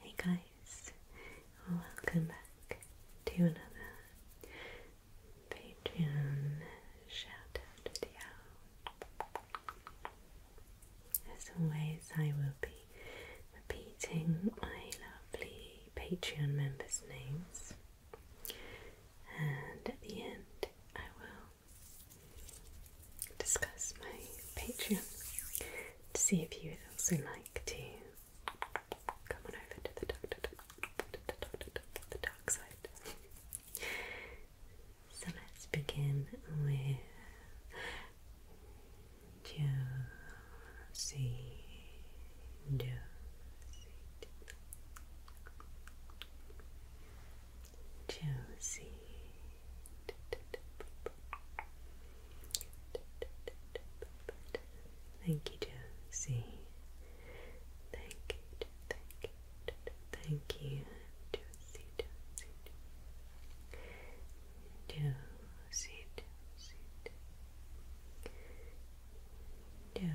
Hey guys, welcome back to another Patreon shout video. As always, I will be repeating my lovely Patreon members' names, and at the end, I will discuss my Patreon to see if you would also like to come on over to the dark side. So let's begin with Josie. Josie. Josie. Thank you, Josie. Thank thank thank you, Josie, Josie, Josie,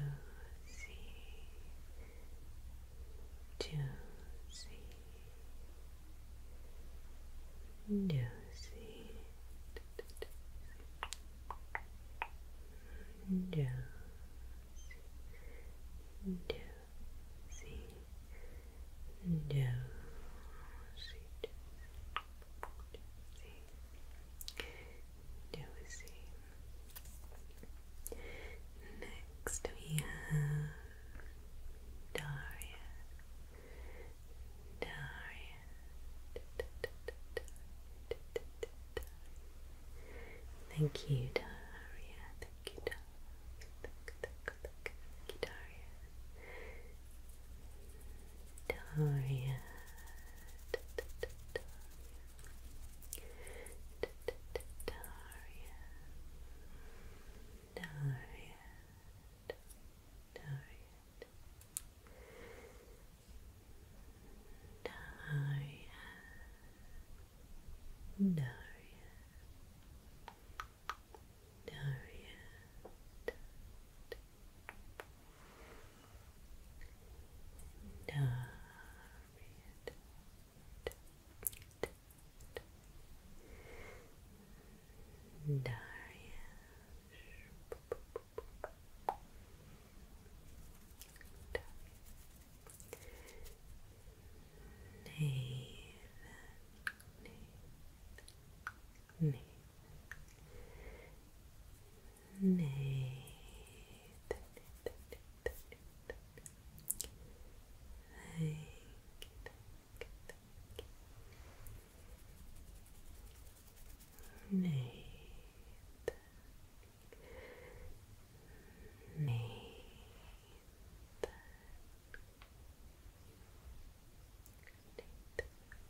Juicy, juicy, juicy, juicy, juicy, Nosy. Next we have Daria. Daria. Thank you, Daria. thank you, Daria. Daria. Daria. Daria, Daria, Daria, Daria, Daria, Daria, Darius. Nathan, Nathan, Nay. Thank you, thank you, thank you. Nate. Nate. Nate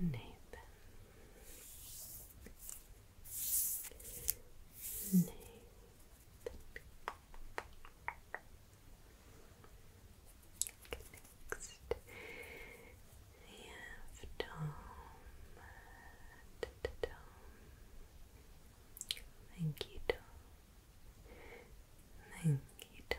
Nathan. Nathan. next, we Thank you, Tom. Thank you, Tom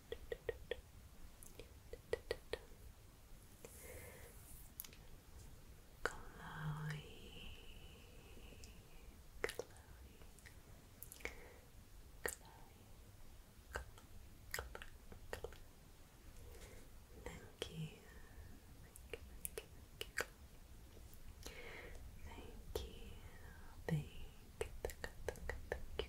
Chloe, Chloe, Chloe, Thank you. Thank you. Thank you.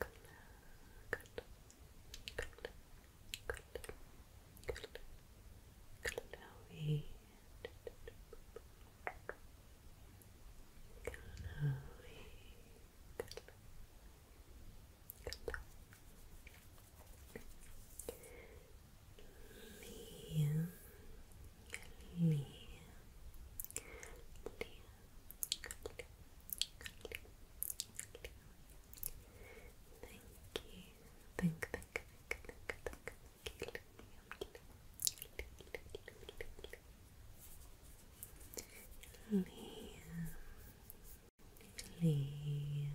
Good. Good. Good. Good. Good. Chloe. Chloe. Good. Good. Liam, Liam, Liam, Thank you. Think, think, think, think, think. Liam. Liam.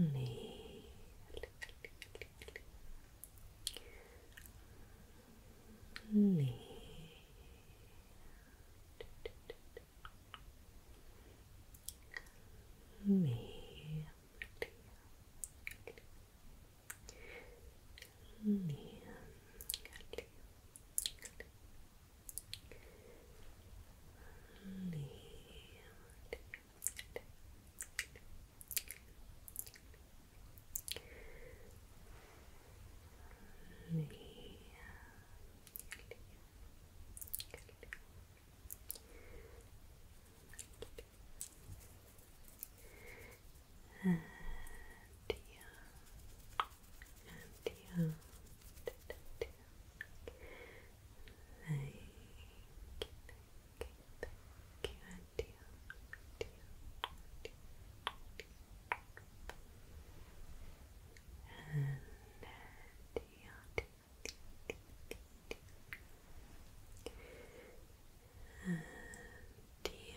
Liam lead. lead. lead. Lead, and yeah, and yeah. Thank you, thank Okay, thank you, Auntie. Auntie, Auntie, Auntie. And Auntie, Auntie,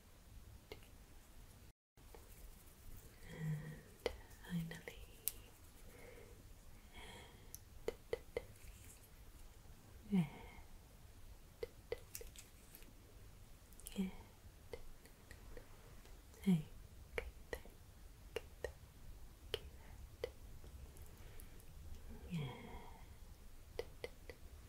And finally, and, and, and, and, and,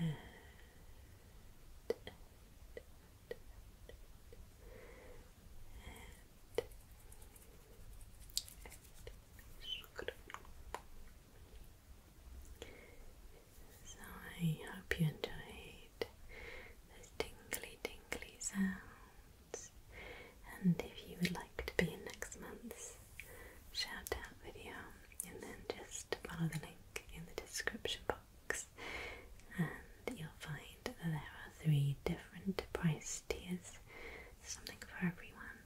and so I hope you enjoyed those tingly, tingly sounds. And if you would like to be in next month's shout out video, and then just follow the link in the description box, and you'll find that there are three different price tiers something for everyone,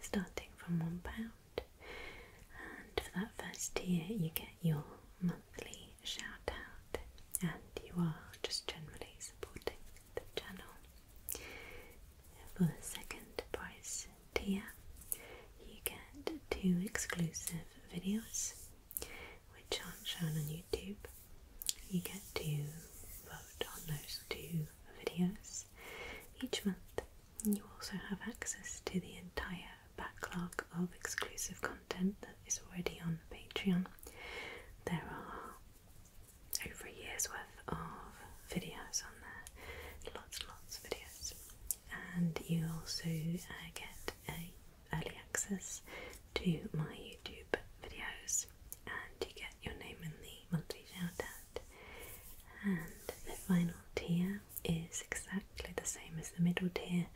starting from £1. And for that first tier, you get your monthly shout out, and you are just generally supporting the channel. For the second prize tier, you get two exclusive videos which aren't shown on YouTube. You get to vote on those two videos each month. You also have access to the entire backlog of exclusive content that is already on Patreon. There are over a year's worth of videos on there, lots and lots of videos, and you also uh, get early access to my YouTube videos, and you get your name in the monthly shout And the final tier is exactly the same as the middle tier,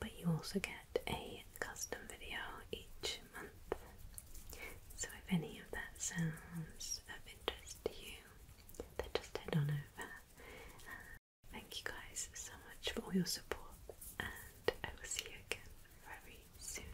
but you also get a custom video each month. So if any of that sounds of interest to you, then just head on over. Uh, thank you guys so much for all your support, and I will see you again very soon.